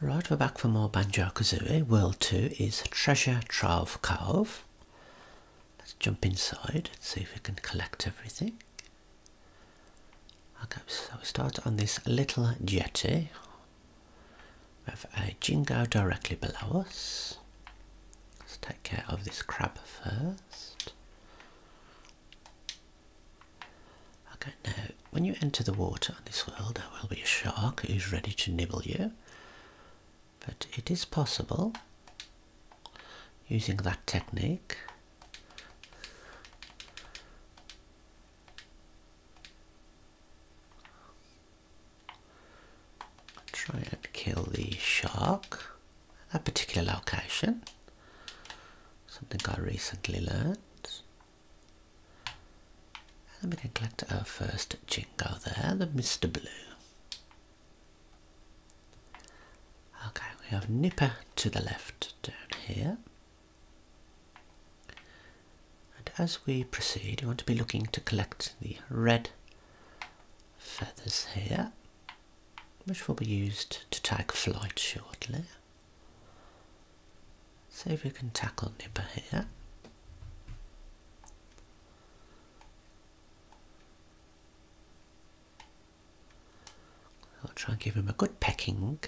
Right, we're back for more Banjo-Kazooie. World 2 is Treasure Trove Cave. Let's jump inside and see if we can collect everything. Okay, so we start on this little jetty. We have a Jingo directly below us. Let's take care of this crab first. Okay, now when you enter the water on this world, there will be a shark who's ready to nibble you. But it is possible, using that technique, try and kill the shark at a particular location. Something I recently learned. And we collect our uh, first jingo there, the Mr. Blue. Okay, we have Nipper to the left down here. And as we proceed, you want to be looking to collect the red feathers here, which will be used to tag flight shortly. See if we can tackle Nipper here. I'll try and give him a good pecking.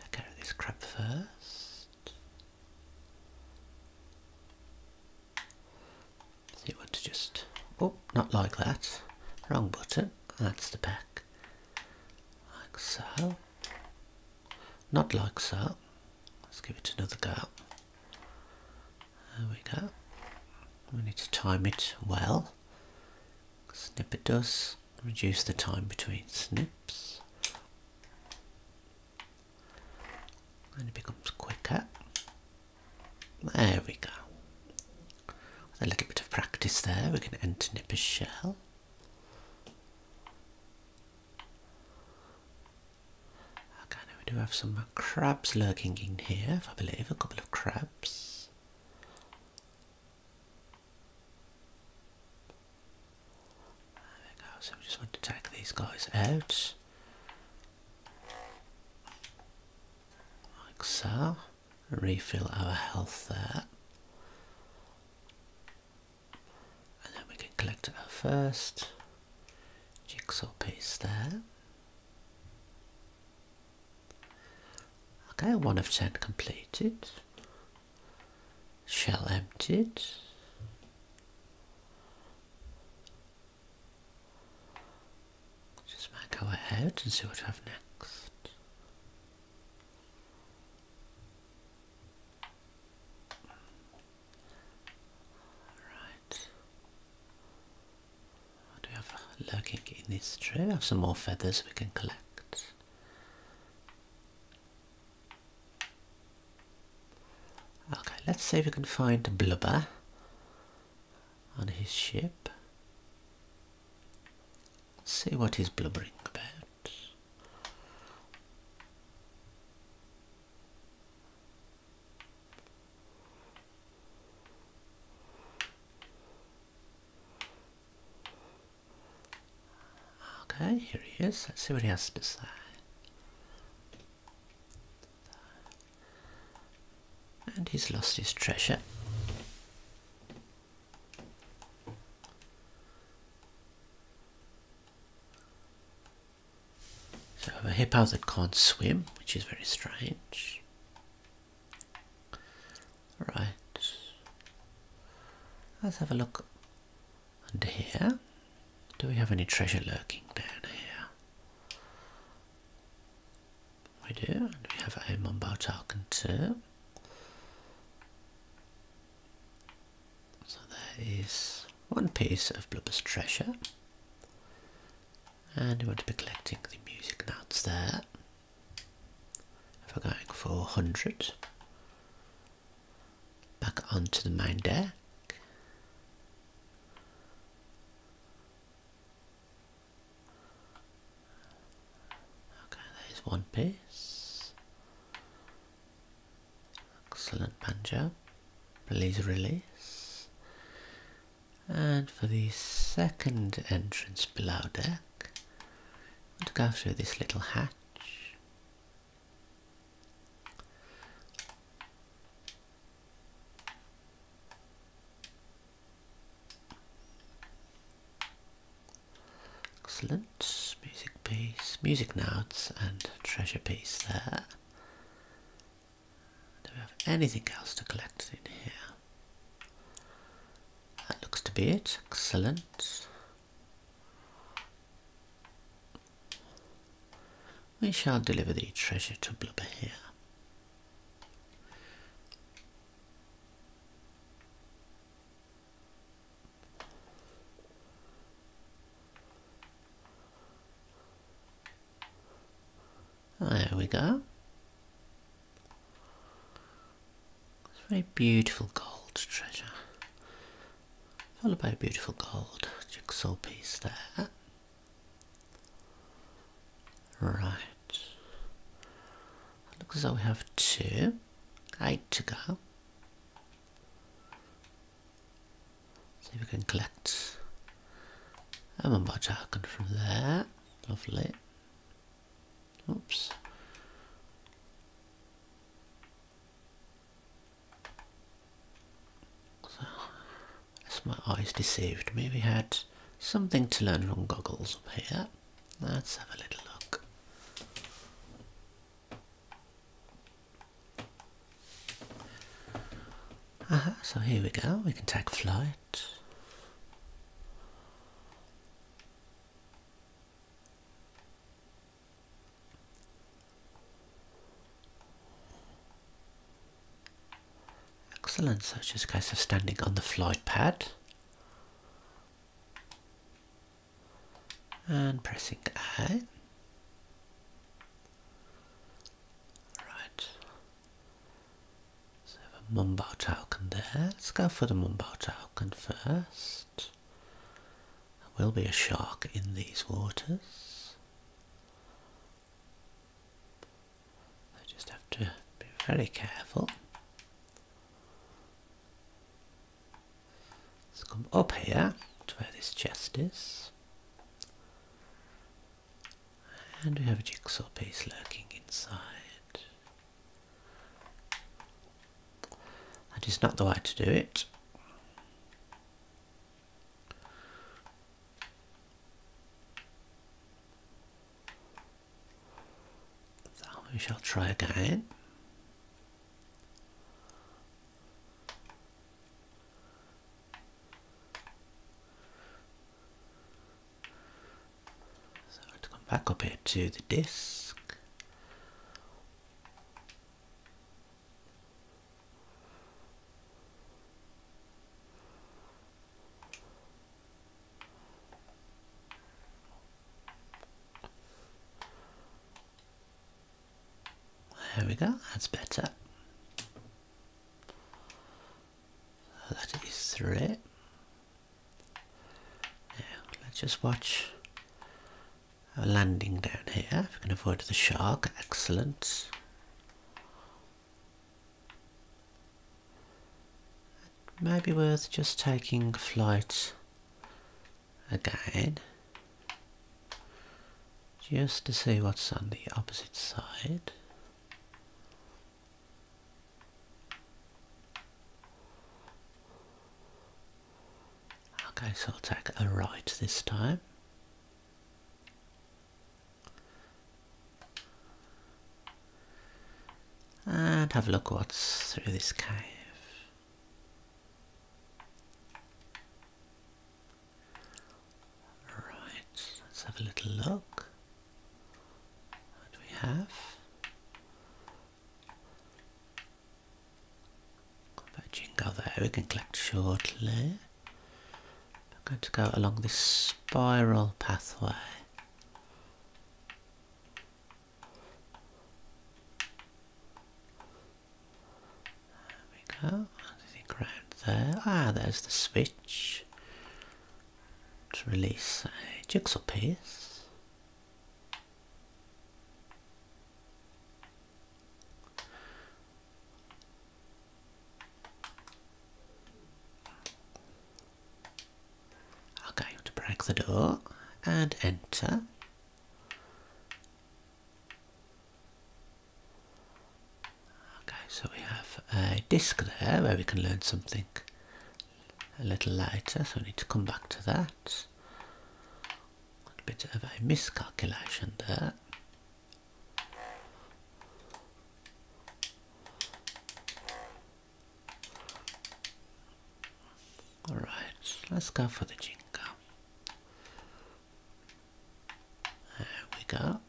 Take care this crab first you want to just, oh, not like that, wrong button, that's the back, like so, not like so, let's give it another go, there we go, we need to time it well, snip it does, reduce the time between snips, and it becomes quicker. There we go. a little bit of practice there, we can enter Nipper's shell. Okay, we do have some crabs lurking in here, I believe, a couple of crabs. There we go, so we just want to take these guys out. Like so. Refill our health there. And then we can collect our first jigsaw piece there. Okay, one of ten completed. Shell emptied. Just might go ahead and see what I have next. Right. What do we have lurking in this tree? We have some more feathers we can collect. Okay, let's see if we can find Blubber on his ship. See what he's blubbering about. Okay, here he is. Let's see what he has to say. And he's lost his treasure. So I have a hippo that can't swim, which is very strange. Right. Let's have a look under here? Do we have any treasure lurking down here? We do, and we have a Mumbo token So there is one piece of Blubber's treasure. And we want to be collecting the music notes there. If we're going for 100, back onto the main deck. Okay, there's one piece. Excellent banjo. Please release. And for the second entrance below deck, I'm go through this little hatch. Excellent. Music piece, music notes and treasure piece there. Do we have anything else to collect in here? That looks to be it. Excellent. We shall deliver the treasure to Blubber here. There we go. It's a very beautiful gold treasure followed by a beautiful gold jigsaw piece there. Right. Looks as though we have two. Eight to go. See if we can collect a mumbo token from there. Lovely. Oops. So, as my eyes deceived me, we had something to learn from goggles up here. Let's have a little look. Aha, so here we go, we can take flight. Excellent, so it's just a case of standing on the flight pad and pressing A. Right. So I have a Mumbai token there. Let's go for the Mumbai token first. There will be a shark in these waters. I just have to be very careful. Let's come up here to where this chest is. And we have a jigsaw piece lurking inside. That is not the way to do it. Thou we shall try again. So I have come back up here to the disk. There we go, that's better. that is through it. let's just watch landing down here. can avoid the shark, excellent. may be worth just taking flight again. Just to see what's on the opposite side. Okay, so I'll take a right this time. And have a look what's through this cave. Right, let's have a little look. What do we have? Got that there we can collect shortly. I'm going to go along this spiral pathway. There we go. Anything around there? Ah, there's the switch. To release a jigsaw piece. I'll go to break the door and enter. Okay, so we have a disk there where we can learn something a little later, so we need to come back to that a bit of a miscalculation there. All right, let's go for the jingle. There we go.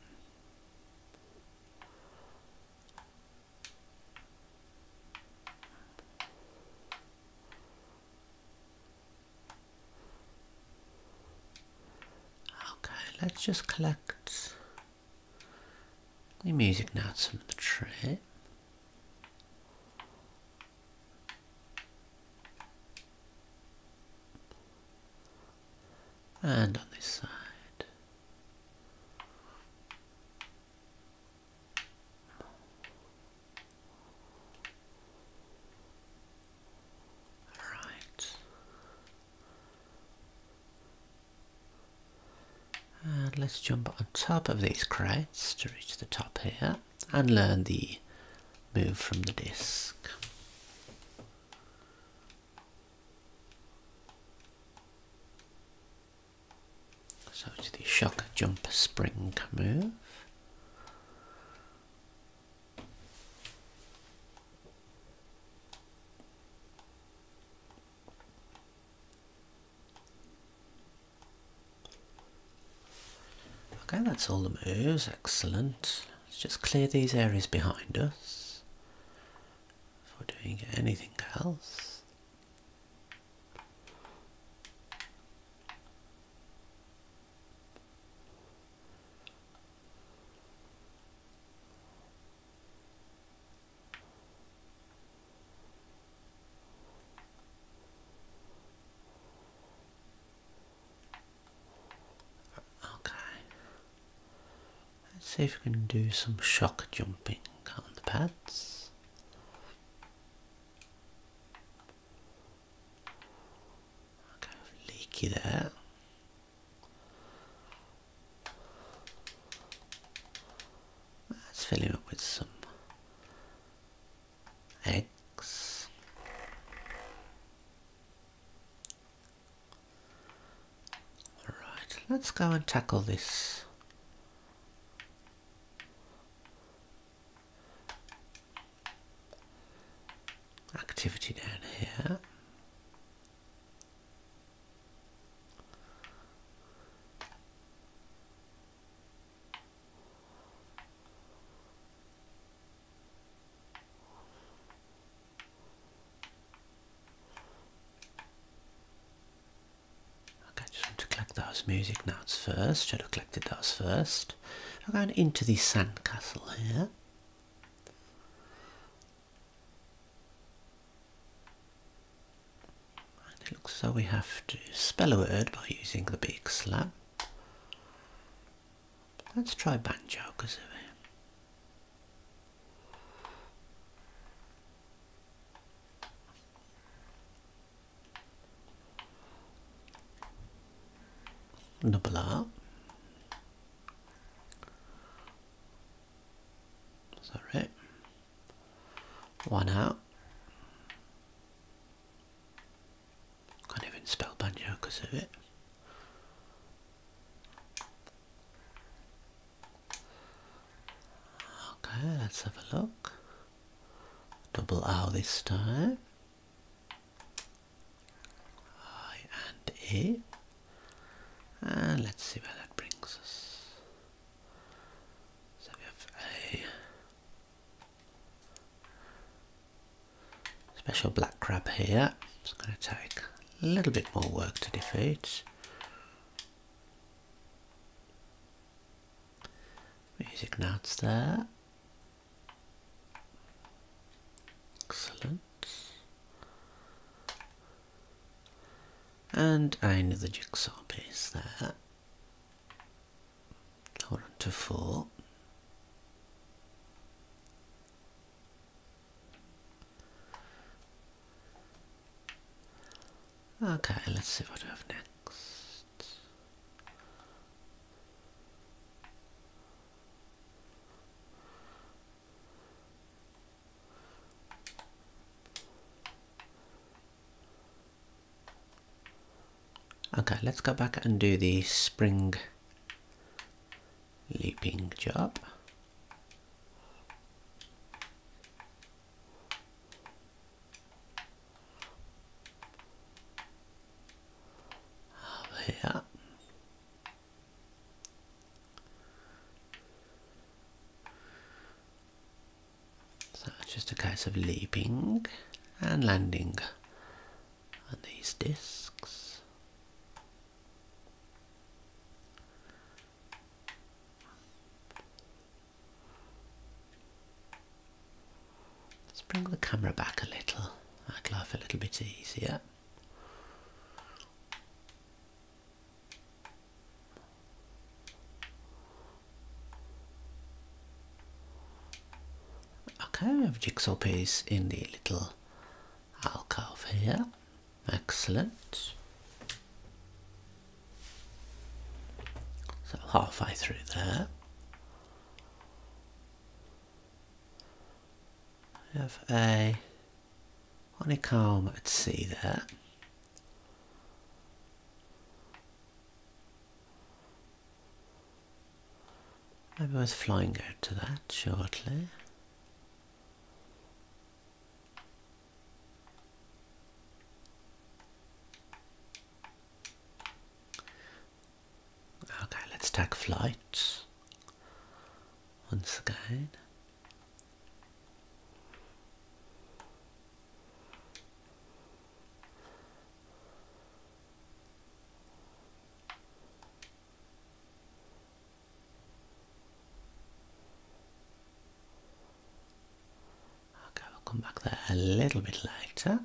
Okay, let's just collect the music notes from the trip. And on this side. Right. And let's jump on top of these crates to reach the top here and learn the move from the disc. So it's the shock jump spring move. Okay, that's all the moves, excellent. Let's just clear these areas behind us before doing anything else. Okay. Let's see if we can do some shock jumping on the pads leaky there. Let's fill him up with some eggs. Alright, let's go and tackle this activity down here. Okay, just want to collect those music notes first. Should have collected those first. I'm going into the sandcastle here. it looks as though we have to spell a word by using the big slab. Let's try banjo cause of kazooie double R. Is that right? One out. Can't even spell banjo because of it. Okay, let's have a look. Double R this time. I and A. And let's see where that brings us. So we have a special black crab here. It's going to take a little bit more work to defeat. Music notes there. Excellent. And another jigsaw piece there. Hold on to four. Okay, let's see what we have next. Okay, let's go back and do the spring looping job there. So it's just a case of leaping and landing on these discs. Let's bring the camera back a little. i Make life a little bit easier. Okay, we have jigsaw piece in the little alcove here. Excellent. So halfway through there. We have a honeycomb at sea there. to be flying out to that shortly. Okay, let's tag flight once again. Okay, we'll come back there a little bit later.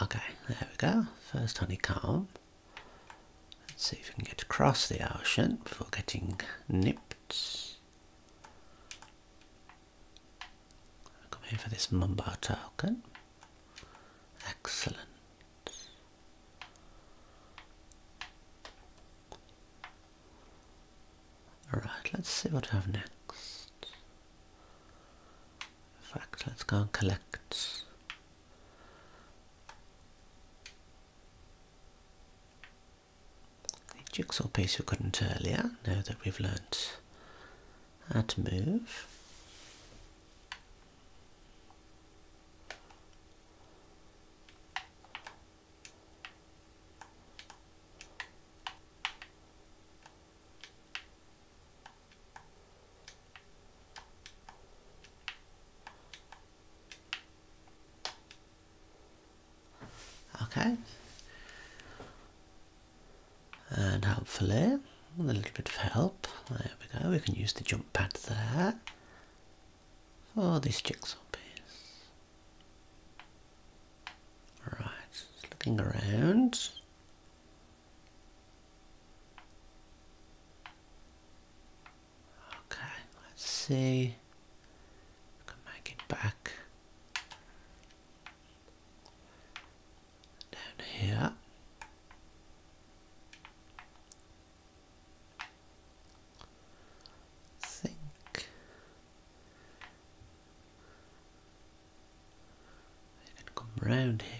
Okay, there we go. First honeycomb. Let's see if we can get across the ocean before getting nipped. Come here for this mamba token. Excellent. Alright, let's see what I have next. In fact, let's go and collect the jigsaw piece we couldn't earlier, now that we've learnt at move. Okay and hopefully with a little bit of help there we go we can use the jump pad there for this jigsaw piece right looking around okay let's see can make it back down here. think they can come round here.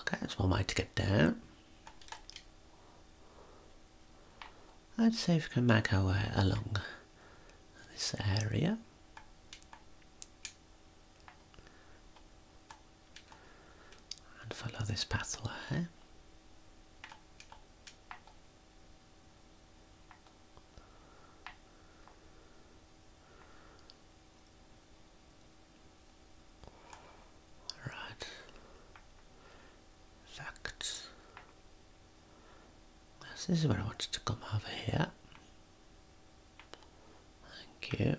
Okay, that's one way to get down. Let's see if we can make our way along this area. And follow this pathway. Right. Facts. This is where I wanted to come over here. Thank you.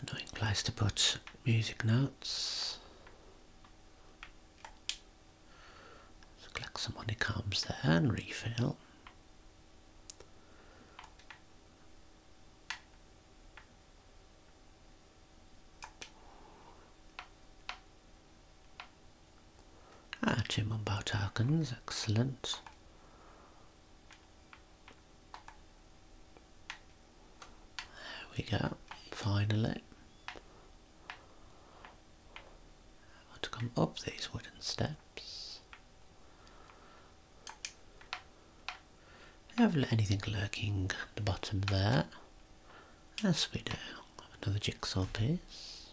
Annoying place to put music notes. So collect some comes there and refill. Ah, two Mumbo tokens, excellent. There we go, finally. to come up these wooden steps. Have not let anything lurking at the bottom there. Yes, we do. Another jigsaw piece.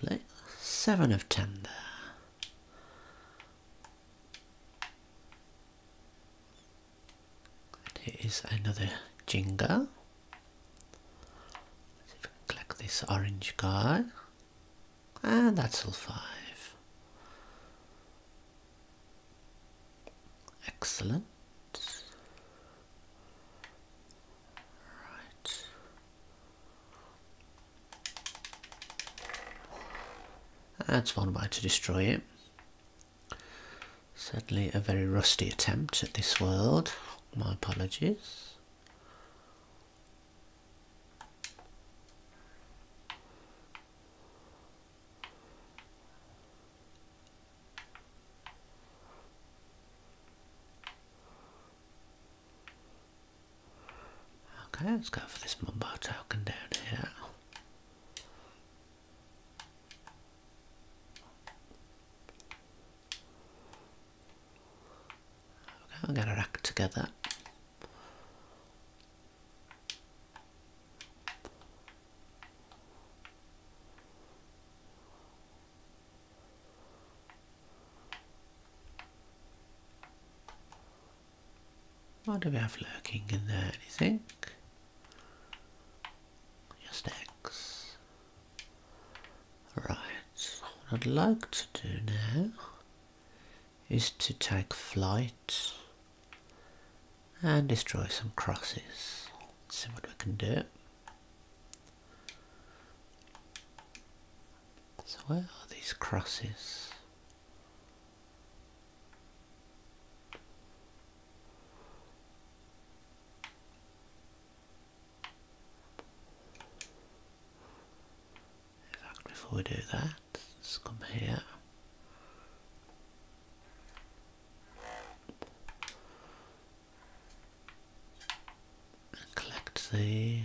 Lovely. Seven of ten there. There is another Jenga. Let's collect this orange guy, And that's all five. Excellent. Right. That's one way to destroy it. Sadly, a very rusty attempt at this world. My apologies. Okay, let's go for this Mumbo token down here. Okay, I'm going to rack together. What do we have lurking in there, do you think? Just X. Right, what I'd like to do now is to take flight and destroy some crosses. see what we can do. So where are these crosses? In fact, before we do that, let's come here. and Collect these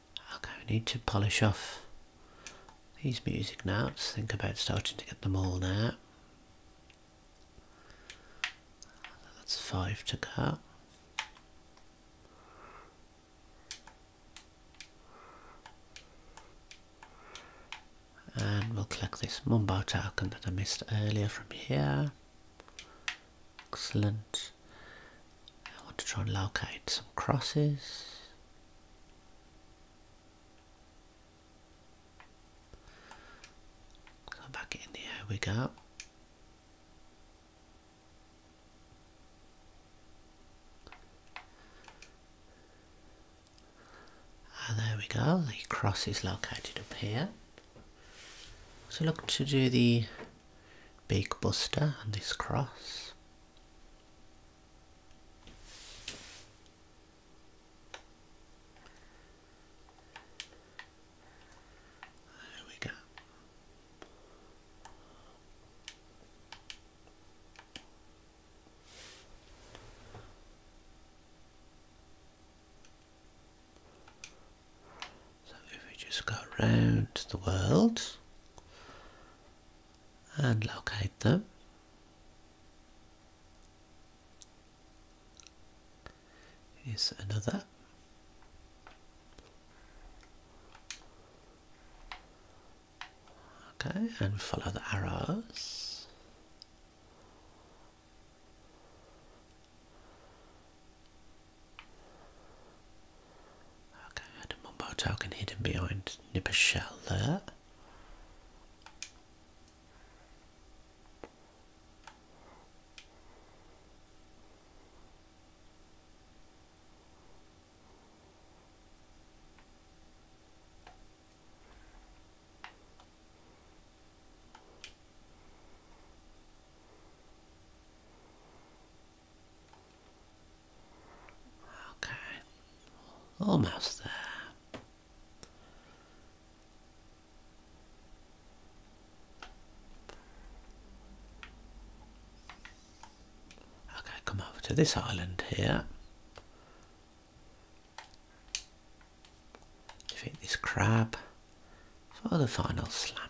Okay, need to polish off these music notes. Think about starting to get them all now. That's five to go. And we'll collect this Mumbo token that I missed earlier from here. Excellent. I want to try and locate some crosses. So back in the we go. And ah, there we go, the cross is located up here. So look to do the big buster on this cross. There we go. So if we just go around the world and locate them. Here's another. Okay, and follow the arrows. Okay, I had a mumbo token hidden behind Nipper Shell there. Okay, almost there. Okay, come over to this island here. Defeat this crab for the final slam.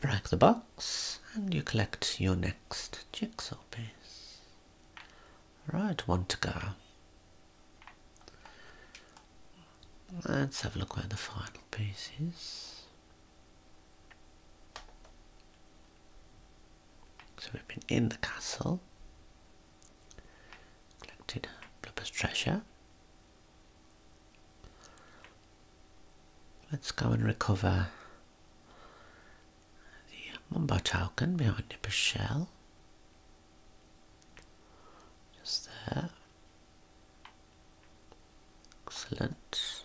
Break the box and you collect your next jigsaw piece. Right, one to go. Let's have a look where the final piece is. So we've been in the castle. Collected Blubber's treasure. Let's go and recover the Mumbo token behind Nipper's shell. Just there. Excellent.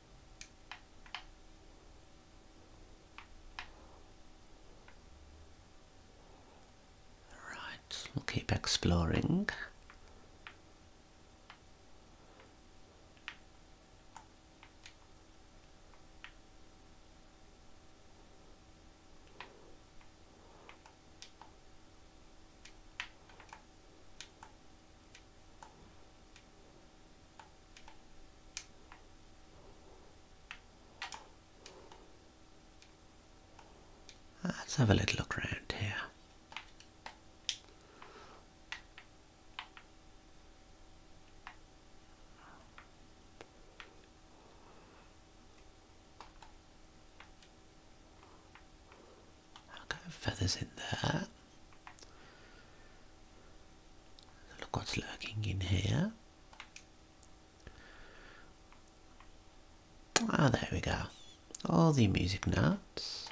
Right, we'll keep exploring. Uh, let's have a little look around here. I'll feathers in there. Look what's lurking in here. Ah, there we go. All the music notes.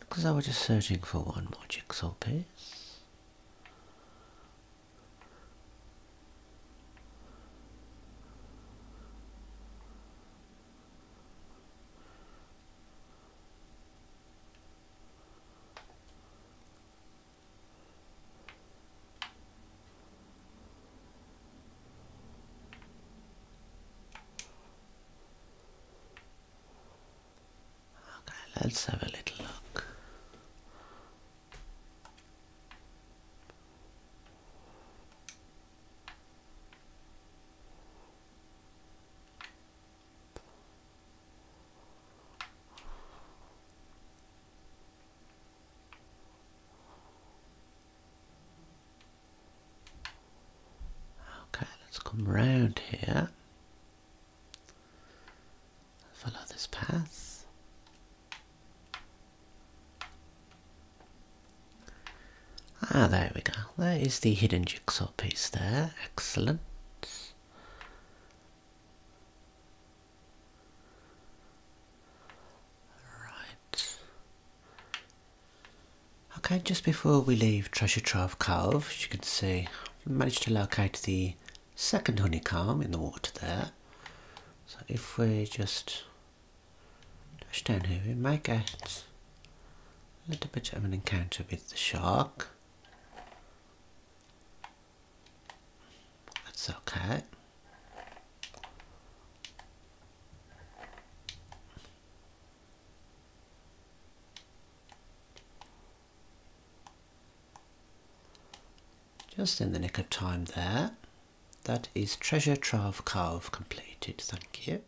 Because I was just searching for one more jigsaw piece. Okay, let's have a little look. Okay, let's come round here. Follow this path. Ah, there we go. There is the hidden jigsaw piece there. Excellent. Right. Okay, just before we leave Treasure Trove Cove, as you can see, we managed to locate the second honeycomb in the water there. So if we just dash down here, we might get a little bit of an encounter with the shark. That's okay. Just in the nick of time there. That is Treasure Trove Cove completed, thank you.